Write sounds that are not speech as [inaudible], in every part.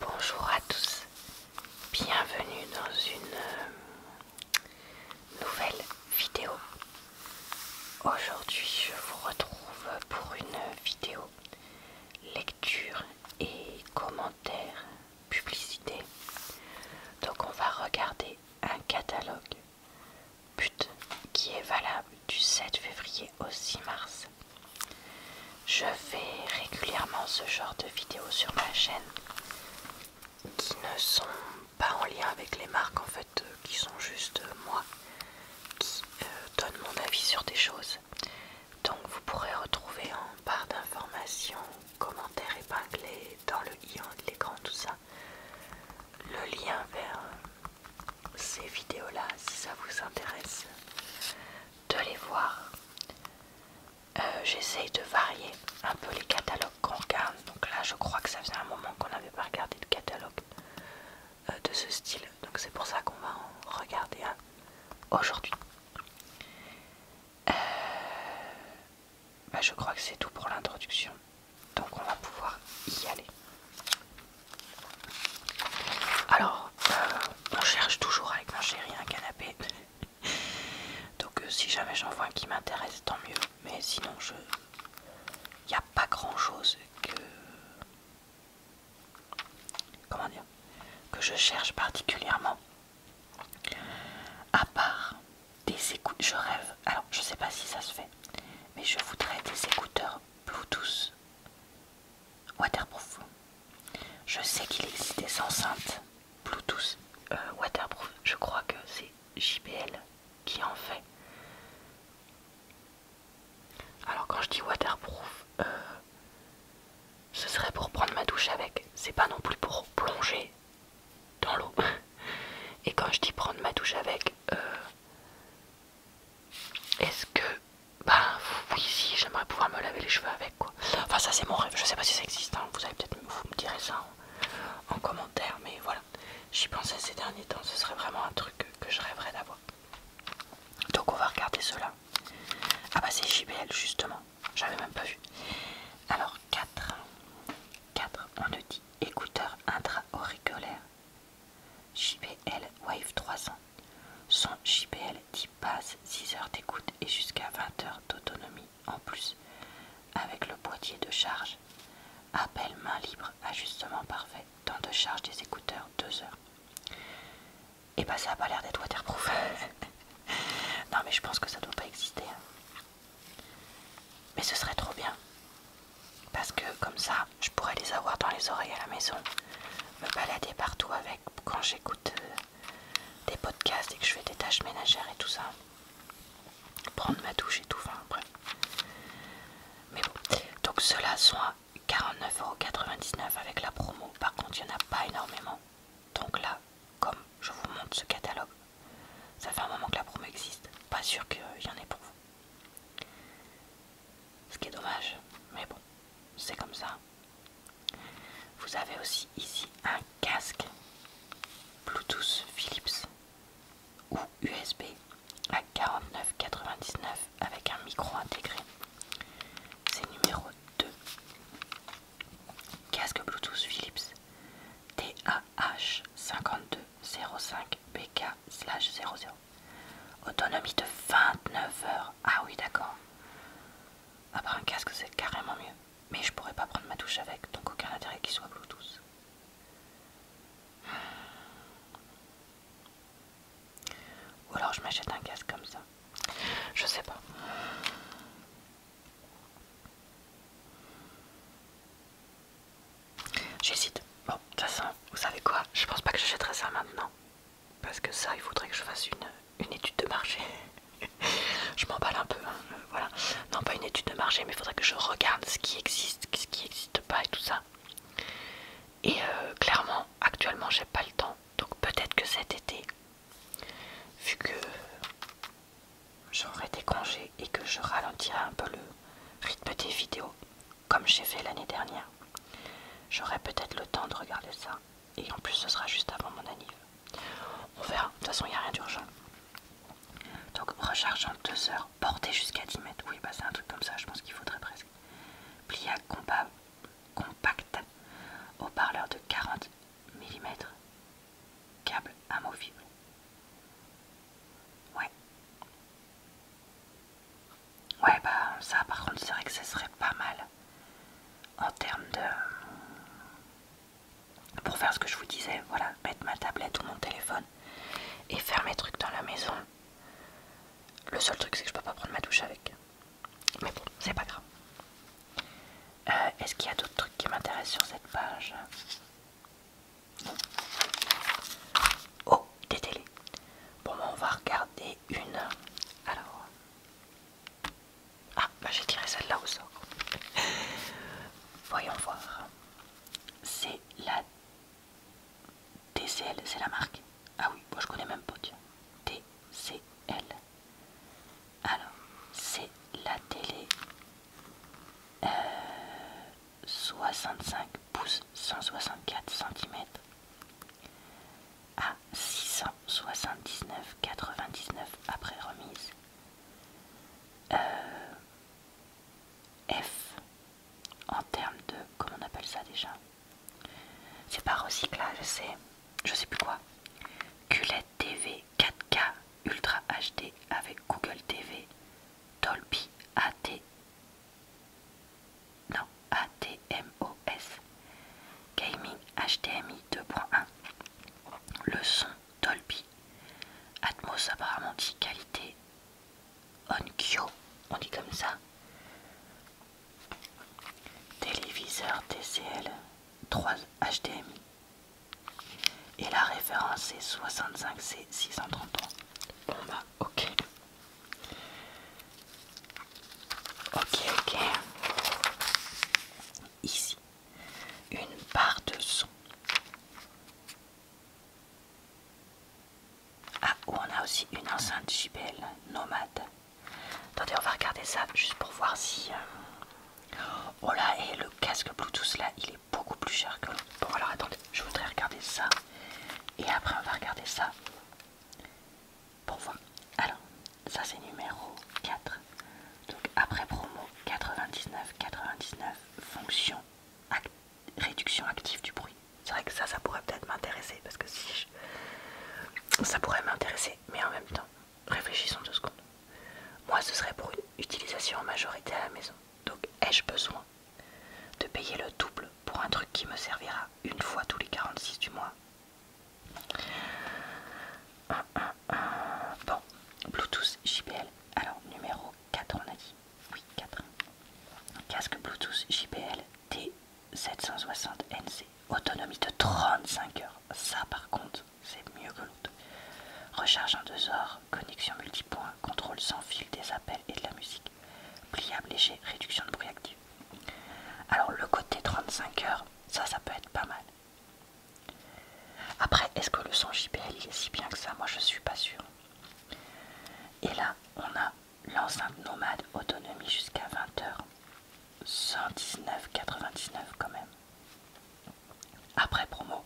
Bonjour à tous, bienvenue dans une euh, nouvelle vidéo. Aujourd'hui je vous retrouve pour une vidéo lecture et commentaires publicité. Donc on va regarder un catalogue but qui est valable du 7 février au 6 mars. Je fais régulièrement ce genre de vidéos sur ma chaîne qui ne sont pas en lien avec les marques en fait, euh, qui sont juste euh, moi qui euh, donne mon avis sur des choses. Donc vous pourrez retrouver en barre d'informations, commentaires épinglés dans le i hein, de l'écran, tout ça, le lien vers ces vidéos-là si ça vous intéresse, de les voir. Euh, j'essaye de varier un peu les catalogues qu'on regarde. Donc là, je crois que ça faisait un moment qu'on n'avait pas regardé de catalogue euh, de ce style. Donc c'est pour ça qu'on va en regarder un aujourd'hui. Euh, bah, je crois que c'est tout pour l'introduction. Donc on va pouvoir y aller. Alors, euh, on cherche toujours avec mon chéri un canapé. Donc, euh, si jamais j'en vois un qui m'intéresse, tant mieux. Mais sinon, je. Il n'y a pas grand chose que. Comment dire Que je cherche particulièrement. À part des écouteurs, Je rêve. Alors, je sais pas si ça se fait. Mais je voudrais des écouteurs Bluetooth waterproof. Je sais qu'il existe des enceintes Bluetooth euh, waterproof. Je crois que c'est JBL qui en fait. Alors quand je dis waterproof, euh, ce serait pour prendre ma douche avec. C'est pas non plus pour plonger dans l'eau. [laughs] Et quand je dis prendre ma douche avec, euh, est-ce que. Bah oui, si, j'aimerais pouvoir me laver les cheveux avec quoi. Enfin, ça c'est mon rêve, je sais pas si ça existe, hein. vous allez peut-être me dire ça en, commentaire, mais voilà. J'y pensais ces derniers temps, ce serait vraiment un truc que, je rêverais d'avoir. Donc on va regarder cela. Ah bah c'est JBL justement, j'avais même pas vu. Alors 4, 4 on nous dit écouteurs intra-auriculaires JBL Wave 300. Son JBL 10 passe 6 heures d'écoute et jusqu'à 20 heures d'autonomie en plus avec le boîtier de charge. Appel main libre, ajustement parfait, temps de charge des écouteurs 2 heures. Et eh bah ben, ça a pas l'air d'être waterproof. [laughs] non mais je pense que ça doit pas exister. Hein. Mais ce serait trop bien. Parce que comme ça, je pourrais les avoir dans les oreilles à la maison, me balader partout avec quand j'écoute euh, des podcasts et que je fais des tâches ménagères et tout ça. Prendre ma douche et tout, enfin bref Mais bon, donc cela là sont à 49,99€ avec la promo. Par contre, il n'y en a pas énormément. Donc là, comme je vous montre ce catalogue, ça fait un moment que la promo existe. Pas sûr qu'il y en ait pour vous. Ce qui est dommage, mais bon c'est comme ça. Vous avez aussi ici un casque Bluetooth Philips ou USB à 49,99 avec un micro intégré. C'est numéro 2. Casque Bluetooth Philips TAH5205BK/00. Autonomie de 29 heures. Ah oui, d'accord. Après un casque c'est carrément mieux. Mais je pourrais pas prendre ma touche avec, donc aucun intérêt qu'il soit Bluetooth. Ou alors je m'achète un casque comme ça. Je sais pas. J'hésite. Bon, de toute façon, vous savez quoi Je pense pas que j'achèterai ça maintenant. Parce que ça, il faudrait que je fasse une, étude de marché. [laughs] je m'emballe un peu, hein, euh, voilà. Non, pas une étude de marché, mais il faudrait que je regarde ce qui existe, ce qui n'existe pas et tout ça. Et euh, clairement, actuellement, j'ai pas le temps. Donc peut-être que cet été, vu que j'aurai des congés et que je ralentirai un peu le rythme des vidéos, comme j'ai fait l'année dernière. J'aurai peut-être le temps de regarder ça. Et en plus, ce sera juste avant mon anniv. On verra. De toute façon, il n'y a rien d'urgent. Donc, recharge en 2 heures. Portée jusqu'à 10 mètres. Oui, bah c'est un truc comme ça. Je pense qu'il faudrait presque. Pliable compa compact. Haut-parleur de 40 mm. Câble amovible. Ouais. Ouais, bah ça par contre c'est vrai que ce serait pas mal en termes de... Pour faire ce que je vous disais, voilà, mettre ma tablette ou mon téléphone et faire mes trucs dans la maison. Le seul truc c'est que je peux pas prendre ma douche avec. Mais bon, c'est pas grave. Euh, est-ce qu'il y a d'autres trucs qui m'intéressent sur cette page Oh, des télés. Bon, bah, on va regarder une. Alors. Ah, bah, j'ai tiré celle-là au sort. [laughs] Voyons voir. C'est la TCL, c'est la marque. Ah oui, moi je connais même pas, TCL. Alors, c'est la télé 65 euh, pousse 164 cm à 679,99 après remise. Euh, F en termes de comment on appelle ça déjà C'est pas recyclage, c'est je sais plus quoi. Culette TV 4K Ultra HD avec Google TV Dolby AT non, ATMOS. Gaming HDMI 2.1. Le son Dolby. Atmos apparemment dit qualité. Onkyo, on dit comme ça. Téléviseur TCL 3 HDMI. Et la référence est 65C633. Bon bah ok. Ok, ok. Ici, une barre de son. Ah, on a aussi une enceinte JBL nomade. Attendez, on va regarder ça juste pour voir si... Euh, oh là, et le casque Bluetooth là, il est beaucoup plus cher que pour Bon alors attendez, je voudrais regarder ça. Et après on va regarder ça. Pour voir. Alors, ça c'est numéro 4. Donc après promo 99 99 fonction réduction active du bruit. C'est vrai que ça ça pourrait peut-être m'intéresser parce que si ça pourrait m'intéresser mais en même temps, réfléchissons deux secondes. Moi ce serait pour une utilisation en majorité à la maison. Donc ai-je besoin de payer le double pour un truc qui me servira une fois tous les 46 du mois. Bon, Bluetooth JPL, Alors, numéro 4, on a dit. Oui, 4. Casque Bluetooth JBL T760NC. Autonomie de 35 heures. Ça, par contre, c'est mieux que l'autre. Recharge en deux heures. Connexion multipoint. Contrôle sans fil des appels et de la musique. Pliable léger, réduction de bruit actif Alors le côté 35 heures, ça, ça peut être pas mal. Après, est-ce que le son JBL est si bien que ça Moi, je suis pas sûr Et là, on a l'enceinte nomade autonomie jusqu'à 20 heures. 119,99 quand même. Après promo.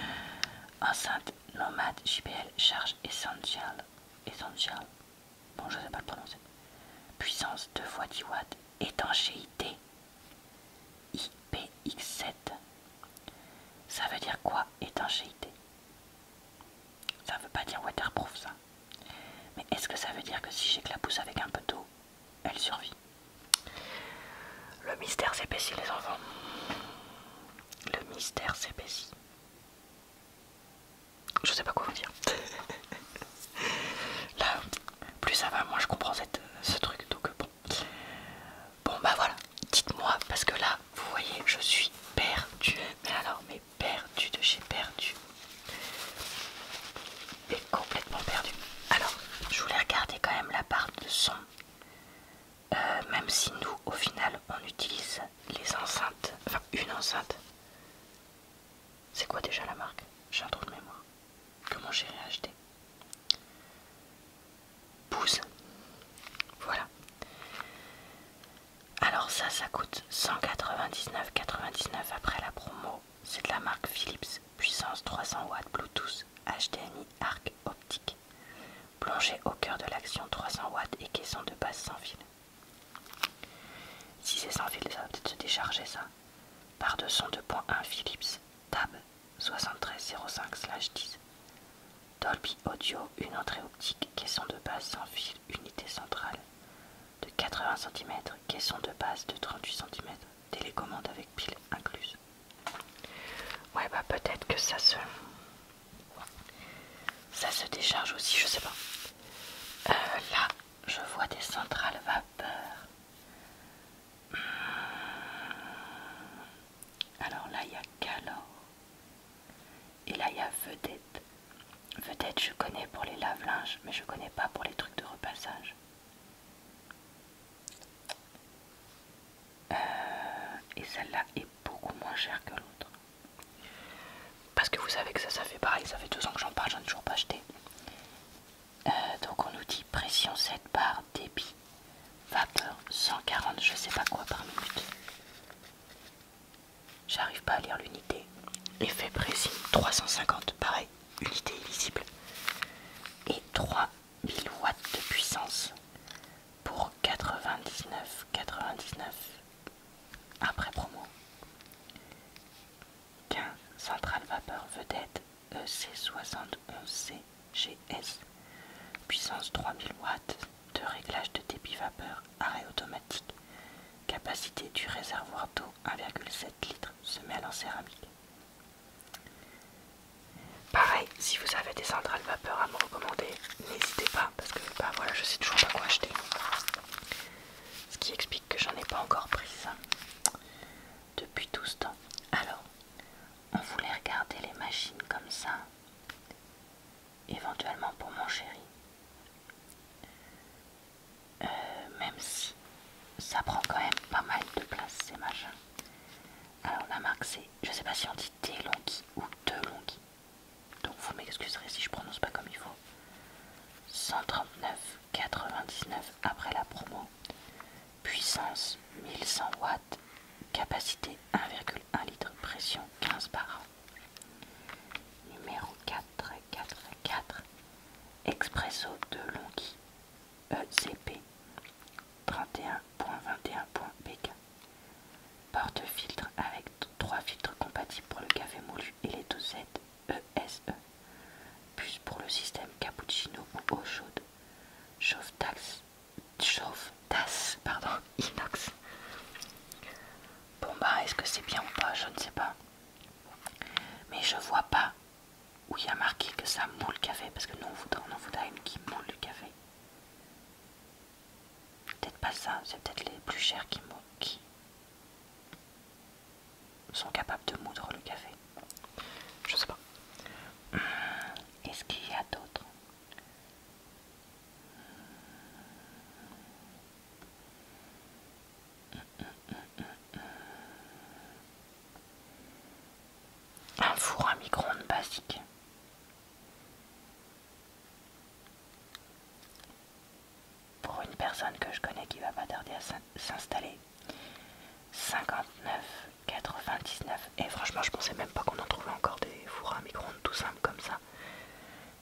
[laughs] Enceinte nomade JBL charge essential essential. Bon, je sais pas le prononcer. Puissance 2 fois 10 watts. Étanchéité IPX7. Ça veut dire quoi étanchéité Ça veut pas dire waterproof ça. Mais est-ce que ça veut dire que si j'éclabousse avec un peu d'eau, elle survit Le mystère s'épaissit les enfants. Le mystère s'épaissit. Je sais pas quoi vous dire. [laughs] Là, plus ça va, moins je comprends ce truc. Donc euh, bon. Bon bah voilà, dites-moi, parce que là, vous voyez, je suis perdue. Mais alors, mais perdue de chez perdue. Et complètement perdue. Alors, je voulais regarder quand même la part de son. Euh, même si nous, au final, on utilise les enceintes, enfin une enceinte. C'est quoi déjà la marque J'ai un trou de mémoire. Comment j'ai réacheté Pouce. Voilà. Alors ça, ça coûte 199,99 après la promo. C'est de la marque Philips, puissance 300 watts Bluetooth, HDMI, arc optique. Plongée au cœur de l'action 300 watts et caisson de base sans fil. Si c'est sans fil, ça va peut-être se décharger ça. Barre de son 2.1 Philips Tab 7305/10. Dolby Audio, une entrée optique, caisson de base sans fil, unité centrale de 80 cm, caisson de base de 38 cm, télécommande avec pile incluse. Ouais bah peut-être que ça se ça se décharge aussi, je sais pas. Euh, là, je vois des centrales vapeur. Hmm. Alors là, il y a Calor. Et là, il y a Vedette. Vedette, je connais pour les lave-linges, mais je connais pas pour les trucs de repassage. Euh, et celle-là est beaucoup moins chère que l'autre. Parce que vous savez que ça, ça fait pareil, ça fait deux ans que j'en parle, j'en ai toujours pas acheté. Euh, donc on nous dit pression 7 bar, débit, vapeur 140, je sais pas quoi par minute. J'arrive pas à lire l'unité. Effet précis 350, pareil, unité illisible. Et 3000 watts de puissance pour 99, 99. Après promo 15. Centrale vapeur vedette ec 71 cgs Puissance 3000 watts de réglage de débit vapeur arrêt automatique Capacité du réservoir d'eau 1,7 litre semelle en céramique Pareil, si vous avez des centrales vapeur à me recommander, n'hésitez pas parce que bah, voilà je sais toujours pas quoi acheter ce qui explique que j'en ai pas encore pris ça. depuis tout ce temps alors on voulait regarder les machines comme ça éventuellement pour mon chéri euh, même si ça prend quand même pas mal de place ces machins alors la marque c'est je sais pas si on dit Delonghi ou Delonghi donc vous m'excuserez si je prononce pas comme il faut. 139,99 après la promo. Puissance 1100 watts. Capacité 1,1 litre. Pression 15 an. Numéro 444. Expresso de Longhi. ECP 31.21.pk Porte-filtre avec trois filtres compatibles pour le café moulu et les dosettes ESE. E. Plus pour le système cappuccino ou eau chaude. Chauve tasse pardon, [laughs] inox. Bon bah, est-ce que c'est bien ou pas Je ne sais pas. Mais je vois pas où il y a marqué que ça moule le café parce que nous on voudrait, on une qui moule le café. Peut-être pas ça, c'est peut-être les plus chers qui, sont capables de moudre le café. Je sais pas. Euh, est-ce qu'il y a d'autres un four à micro-ondes basique. Pour une personne que je connais qui va pas tarder à s'installer. 59,99. Et franchement, je pensais même pas qu'on en trouvait encore des fours à micro-ondes tout simples comme ça.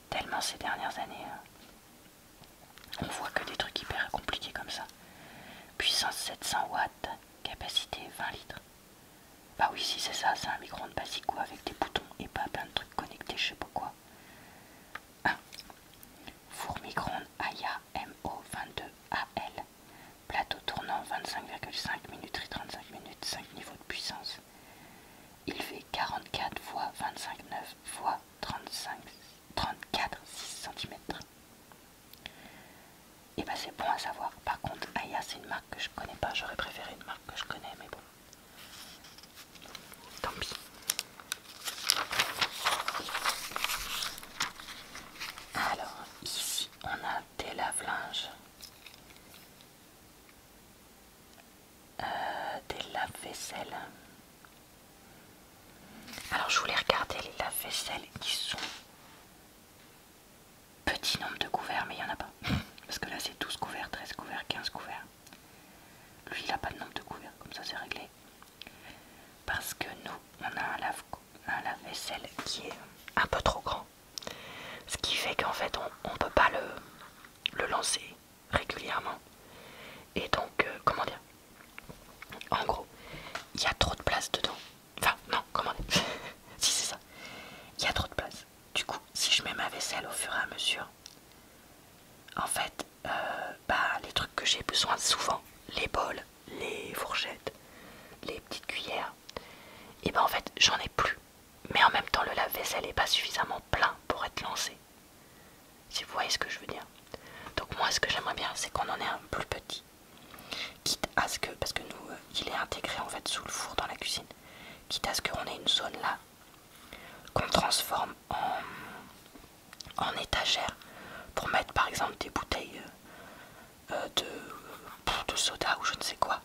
Tellement ces dernières années, euh, on voit que des trucs hyper compliqués comme ça. Puissance 700 watts, capacité 20 litres. Bah oui, si c'est ça, c'est un micro-ondes basico avec des boutons et pas plein de trucs connectés, je sais pas quoi. 1. Ah. Four micro Aya MO22AL. Plateau tournant 25,5 minutes 35 minutes, 5 niveaux de puissance. Il fait 44 25, 25,9 x 35, 34, 6 cm. Et bah c'est bon à savoir. Par contre, Aya c'est une marque que je connais pas. J'aurais préféré une marque que je connais, mais bon. Tant pis. Alors, ici, on a des lave-linges. Euh, des lave-vaisselle. Alors, je voulais regarder les lave-vaisselle qui sont Petit nombre de couverts, mais il n'y en a pas. [laughs] Parce que là, c'est 12 couverts, 13 couverts, 15 couverts. Lui, il n'a pas de nombre de couverts, comme ça, c'est réglé. Parce que nous, on a un lave-vaisselle qui est un peu trop grand. Ce qui fait qu'en fait, on ne peut pas le, lancer régulièrement. Et donc, euh, comment dire En gros, il y a trop de place dedans. Enfin, non, comment [laughs] Si, c'est ça. Il y a trop de place. Du coup, si je mets ma vaisselle au fur et à mesure, en fait, euh, bah, les trucs que j'ai besoin souvent, les bols, les fourchettes, les petites cuillères, et ben en fait, j'en ai plus. Mais en même temps, le lave-vaisselle n'est pas suffisamment plein pour être lancé. Si vous voyez ce que je veux dire. Donc moi, ce que j'aimerais bien, c'est qu'on en ait un plus petit. Quitte à ce que, parce que nous, euh, il est intégré en fait sous le four dans la cuisine quitte à ce qu'on ait une zone là qu'on transforme en, en étagère pour mettre par exemple des bouteilles euh, euh, de, soda ou je ne sais quoi.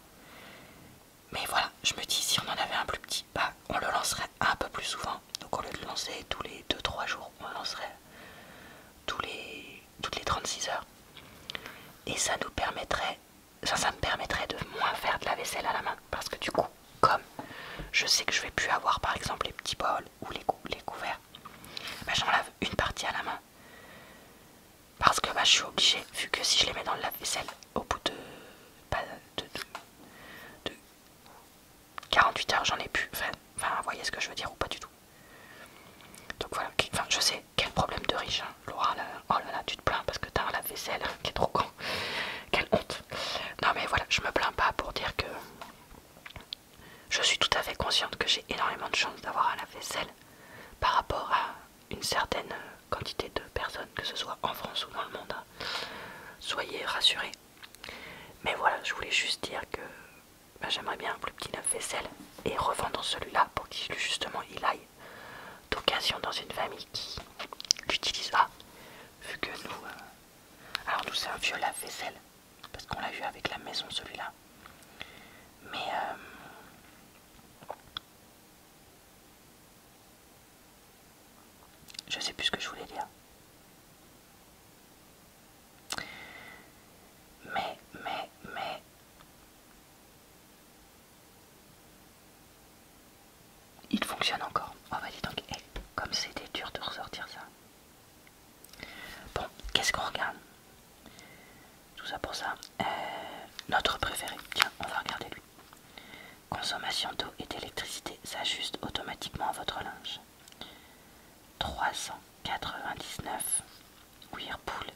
Mais voilà, je me dis si on en avait un plus petit, pas bah, on le lancerait un peu plus souvent. Donc au lieu de le lancer tous les 2-3 jours, on le lancerait tous les, toutes les 36 heures. Et ça nous permettrait ça, ça me permettrait de moins faire de la vaisselle à la main parce que du coup, comme je sais que je vais plus avoir par exemple les petits bols ou les, couverts, bah, j'en lave une partie à la main parce que bah, je suis obligée, vu que si je les mets dans le vaisselle au bout de, 48 bah, heures, j'en ai plus. Enfin, enfin, vous voyez ce que je veux dire ou pas du tout. Donc voilà, enfin, je sais, quel problème de riche, hein. Laura, oh là là, tu te plains parce que t'as un lave-vaisselle qui est trop grand. Quelle honte. Non mais voilà, je me plains pas pour dire que je suis tout à fait consciente que j'ai énormément de chance d'avoir un lave-vaisselle par rapport à une certaine quantité de personnes, que ce soit en France ou dans le monde. Hein. Soyez rassurés. Mais voilà, je voulais juste dire que bah, j'aimerais bien un plus petit lave-vaisselle et revendre celui-là pour qu'il justement il aille d'occasion dans une famille qui utilise Ah, vu que nous. Euh, alors, nous, c'est un vieux lave-vaisselle. Parce qu'on l'a vu avec la maison, celui-là. Mais. Euh, je sais plus ce que je voulais dire. Mais, mais, mais. Il fonctionne encore. Oh va y donc, eh, comme c'était dur de ressortir ça. Bon, qu'est-ce qu'on regarde Tout ça pour ça. Euh, notre préféré, tiens, on va regarder lui. Consommation d'eau et d'électricité s'ajuste automatiquement à votre linge. 399 Whirlpool.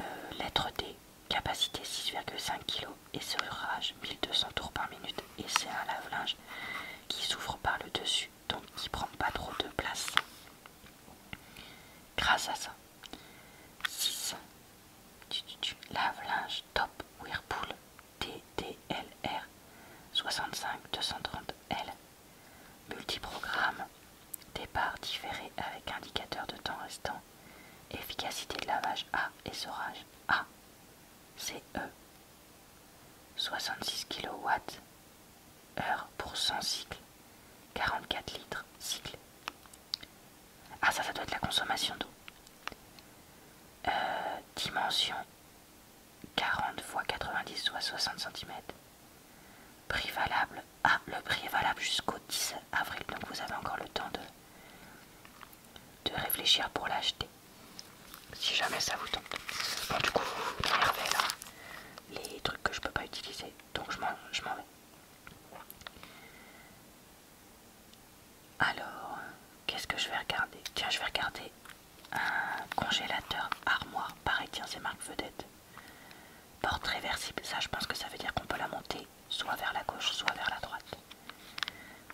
Euh, lettre D. Capacité 6,5 kg et serrage 1200 tours par minute et c'est un lave-linge qui s'ouvre par le dessus donc qui prend pas trop de place. Grâce à ça. 6. Lave-linge top Whirlpool TDLR 65 230L multiprogramme Départ différé avec indicateur de temps restant. Efficacité de lavage A et sorage A. E 66 kW heure pour 100 cycles. 44 litres cycle. Ah ça, ça doit être la consommation d'eau. Euh, dimension 40 x 90 x 60 cm. Prix valable ah, le prix est valable jusqu'au 10 avril, donc vous avez encore le temps de, de réfléchir pour l'acheter. Si jamais ça vous tente. Bon, du coup, vous là les trucs que je peux pas utiliser, donc je m'en vais. Alors, qu'est-ce que je vais regarder Tiens, je vais regarder un congélateur armoire. Pareil, tiens, c'est marque vedette. Porte réversible, ça je pense que ça veut dire qu'on peut la monter soit vers la gauche, soit vers la droite.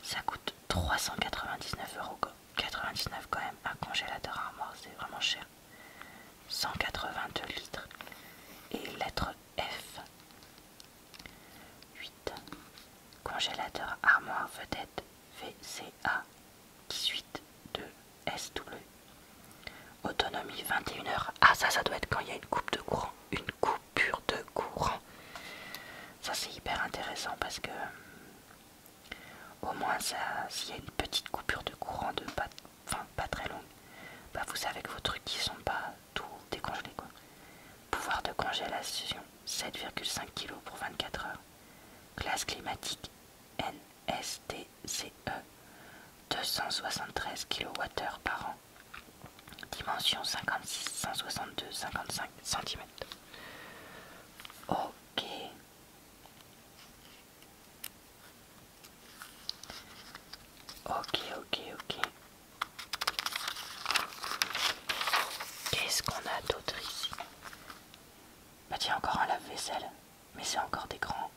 Ça coûte 399 euros. 99 quand même, un congélateur armoire, c'est vraiment cher. 182 litres. Et lettre F. 8. Congélateur armoire vedette VCA 18 2 SW Autonomie 21h. Ah ça ça doit être quand il y a une coupe de courant. Une coupure de courant. Ça c'est hyper intéressant parce que euh, au moins s'il y a une petite coupure de courant de pas, pas très longue, bah vous savez que vos trucs qui sont pas tout décongelés quoi. Pouvoir de congélation 7,5 kg pour 24 heures. Classe climatique NSTCE 273 kWh par an dimension 56, 162, 55 cm. Ok. Ok, ok, ok. Qu'est-ce qu'on a d'autre ici Bah tiens, encore un lave-vaisselle. Mais c'est encore des grands.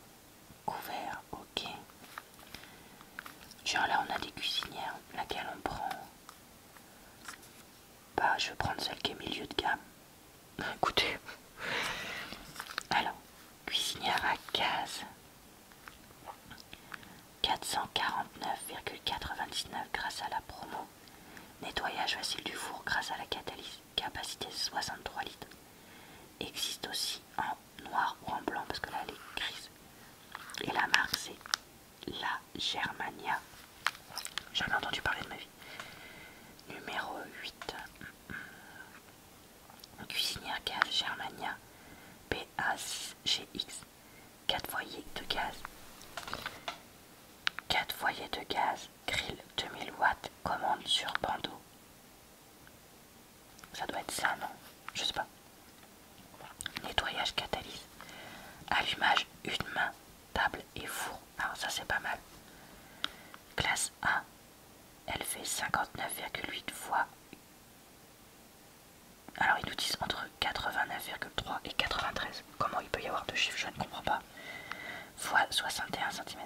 Couvert, ok. Genre là on a des cuisinières, laquelle on prend Bah je vais prendre celle qui est milieu de gamme. [laughs] Écoutez. Alors, cuisinière à gaz. 449,99 grâce à la promo. Nettoyage facile du four grâce à la catalyse, capacité 63 litres. Existe aussi en noir ou en blanc parce que là elle est grise. Et la marque c'est La Germania. j'ai jamais entendu parler de ma vie. Numéro 8. Cuisinière gaz Germania pa gx 4 foyers de gaz. 4 foyers de gaz grill 2000 watts commande sur bandeau. Ça doit être ça, non Je sais pas. Nettoyage catalyse. Allumage une main, table et four. Alors ah, ça c'est pas mal. Classe A. Elle fait 59,8 fois. Alors ils nous disent entre 89,3 et 93. Comment il peut y avoir deux chiffres Je ne comprends pas. Fois 61 cm.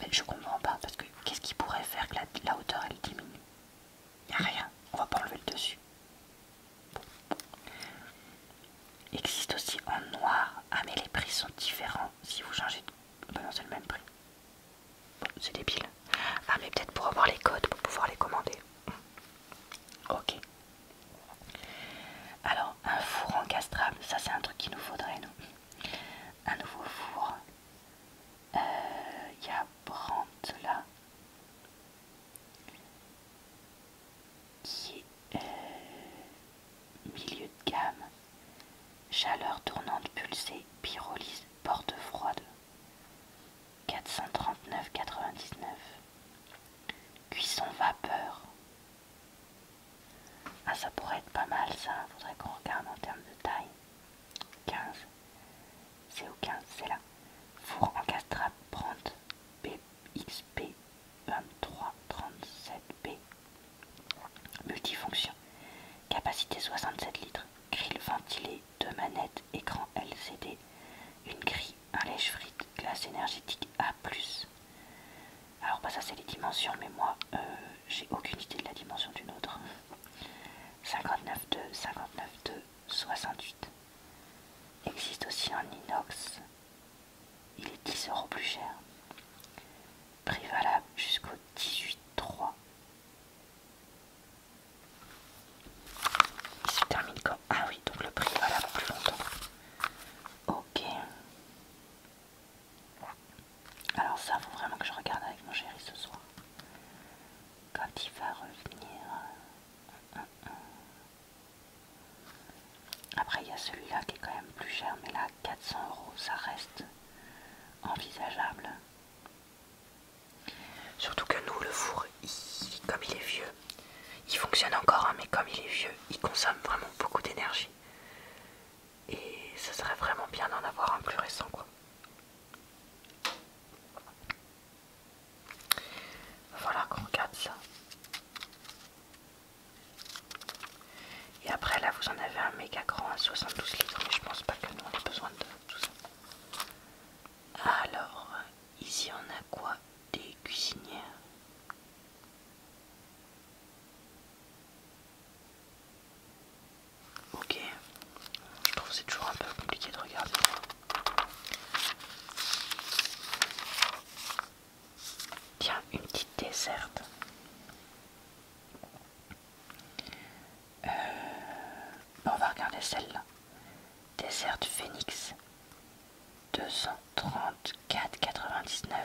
Mais je comprends pas, parce que qu'est-ce qui pourrait faire que la, hauteur elle diminue Il a rien, on va pas enlever le dessus. existe aussi en noir, ah mais les prix sont différents si vous changez de... non c'est le même prix. c'est débile. Ah mais peut-être pour avoir les codes, pour pouvoir les commander. Ok. Alors, un four encastrable, ça c'est un truc qu'il nous faudrait, nous. Un nouveau four il euh, y a Brandt qui est euh, milieu de gamme, chaleur tournante pulsée, pyrolyse, porte froide, 439,99. Cuisson vapeur. Ah ça pourrait être pas mal ça, faudrait qu'on regarde en termes de taille. 15. C'est au 15, c'est là. Four en castrate Brandt BXP 2337B. Multifonction. Capacité 67 litres. Grille ventilée, deux manettes, écran LCD, une grille, un lèche frite, glace énergétique A+. Alors pas bah, ça c'est les dimensions, mais moi euh, j'ai aucune idée de la dimension d'une autre. 59,2 59,2 68. Existe aussi un inox. Il est 10 euros plus cher. Prix valable jusqu'au 18 3. Il se termine comme... Ah oui, donc le prix valable plus longtemps. Ok. Alors ça faut vraiment que je regarde avec mon chéri ce soir. Quand il va revenir. Euh, hum, hum, hum. Après il y a celui-là qui est quand même plus cher, mais là 400 euros, ça reste envisageable. Surtout que nous, le four, comme il est vieux, il fonctionne encore, hein, mais comme il est vieux, il consomme vraiment beaucoup d'énergie et ce serait vraiment bien d'en avoir un plus récent quoi. Voilà qu'on regarde ça. Et après là vous en avez un méga grand à 72 litres mais je pense pas que nous on ait besoin de tout ça. Alors ici on a quoi Des cuisinières. Ok, je trouve c'est toujours un peu compliqué de regarder. Tiens, une petite desserte. Euh, ben, on va regarder celle-là. Déserte Phoenix 234,99.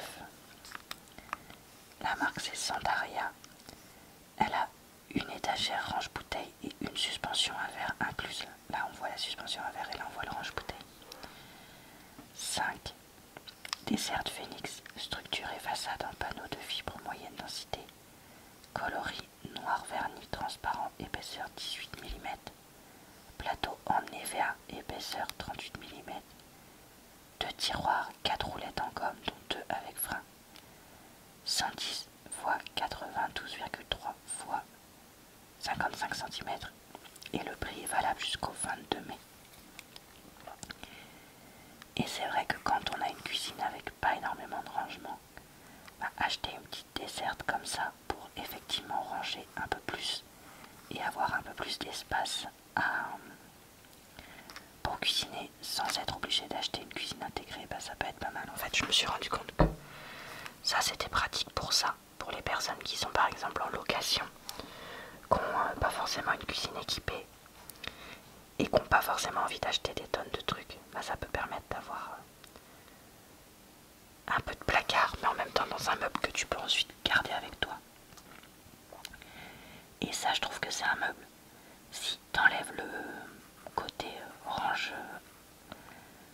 La marque c'est Sandaria. Elle a une étagère range-bouteille et une suspension à verre incluse. Là on voit la suspension à verre et là on voit le range-bouteille. 5. Dessert Phoenix. structure et façade en panneau de fibre moyenne densité. Coloris noir vernis transparent, épaisseur 18 mm. Plateau en EVA, épaisseur 38 mm deux tiroirs, quatre roulettes en gomme, dont deux avec frein. 110 x 92,3 x 55 cm et le prix est valable jusqu'au 22 mai. Et c'est vrai que quand on a une cuisine avec pas énormément de rangement, bah, acheter une petite desserte comme ça pour effectivement ranger un peu plus et avoir un peu plus d'espace, euh, pour cuisiner sans être obligé d'acheter une cuisine intégrée, bah, ça peut être pas mal. En fait, je me suis rendu compte que ça c'était pratique pour ça, pour les personnes qui sont par exemple en location, qui n'ont euh, pas forcément une cuisine équipée et qui n'ont pas forcément envie d'acheter des tonnes de trucs. Bah, ça peut permettre d'avoir euh, un peu de placard, mais en même temps dans un meuble que tu peux ensuite garder avec toi. Et ça, je trouve que c'est un meuble. Si t'enlèves le côté range...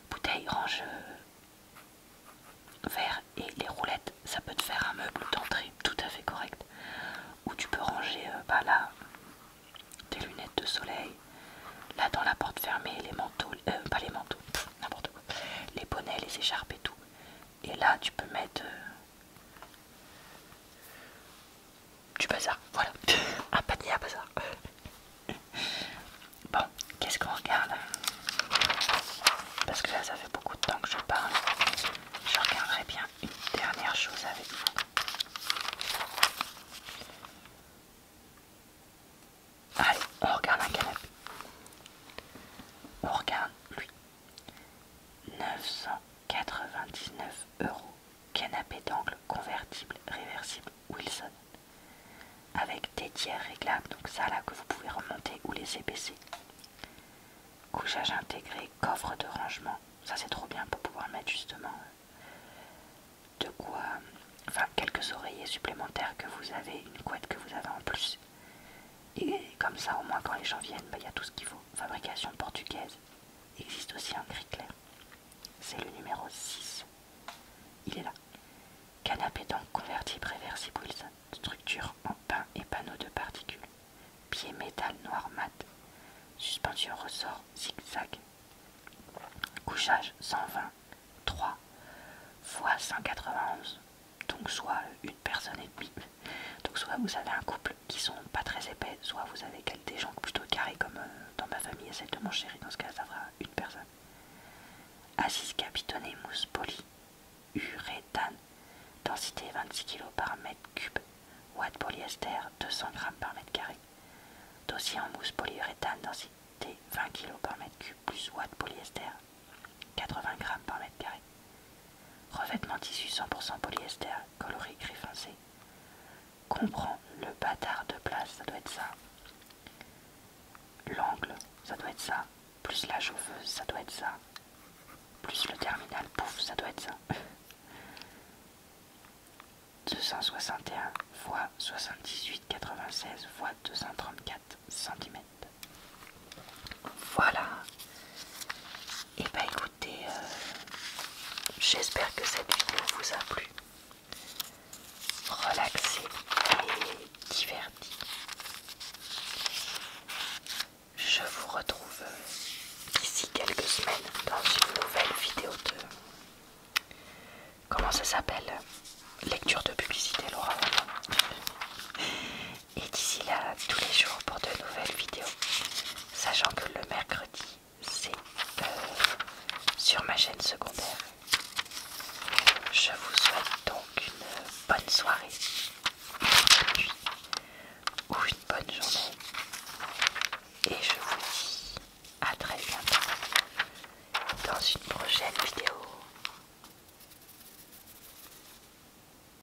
bouteille, range verre et les roulettes, ça peut te faire un meuble d'entrée tout à fait correct. Où tu peux ranger euh, bah là tes lunettes de soleil, là dans la porte fermée, les manteaux, euh, pas les manteaux, n'importe quoi, les bonnets, les écharpes et tout. Et là, tu peux mettre euh, du bazar. Voilà, [laughs] un panier à bazar. [laughs] bon, qu'est-ce qu'on regarde Parce que là, ça fait beaucoup de temps que je parle. Je regarderai bien une dernière chose avec vous. Allez, on regarde un canapé. On regarde lui. 900 99 euros canapé d'angle convertible réversible Wilson avec des tiers réglables donc ça là que vous pouvez remonter ou laisser baisser couchage intégré coffre de rangement ça c'est trop bien pour pouvoir mettre justement euh, de quoi enfin quelques oreillers supplémentaires que vous avez une couette que vous avez en plus et comme ça, au moins, quand les gens viennent, bah, il y a tout ce qu'il faut. Fabrication portugaise. existe aussi un gris clair. C'est le numéro 6. Il est là. Canapé donc convertible préversible, Structure en pain et panneau de particules. Pied métal noir mat. Suspension ressort zigzag. Couchage 120. 3 x 191. Donc soit une personne et demie. Donc soit vous avez un couple qui sont pas très épais, soit vous avez des gens plutôt carrés comme euh, dans ma famille et celle de mon chéri, dans ce cas ça fera une personne. Asis capitonné, mousse polyuréthane, densité 26 kg par mètre cube, watt polyester 200 g par mètre carré. Dossier en mousse polyuréthane, densité 20 kg par mètre cube plus watt polyester 80 g par mètre carré. Revêtement tissu 100% polyester, coloré gris foncé. Comprends le bâtard de place, ça doit être ça. L'angle, ça doit être ça. Plus la chauffeuse, ça doit être ça. Plus le terminal, pouf, ça doit être ça. 261 x 78,96 x 234 cm. Voilà. Et eh bah ben, écoutez, euh, j'espère que cette vidéo vous a plu, relaxé et diverti. Je vous retrouve euh, d'ici quelques semaines dans une nouvelle vidéo de... Comment ça s'appelle Lecture de publicité, Laura et d'ici là tous les jours pour de nouvelles vidéos. Sachant que le mercredi, c'est euh, sur ma chaîne secondaire. Je vous souhaite donc une bonne soirée, ou une bonne journée. Et je vous dis à très bientôt dans une prochaine vidéo.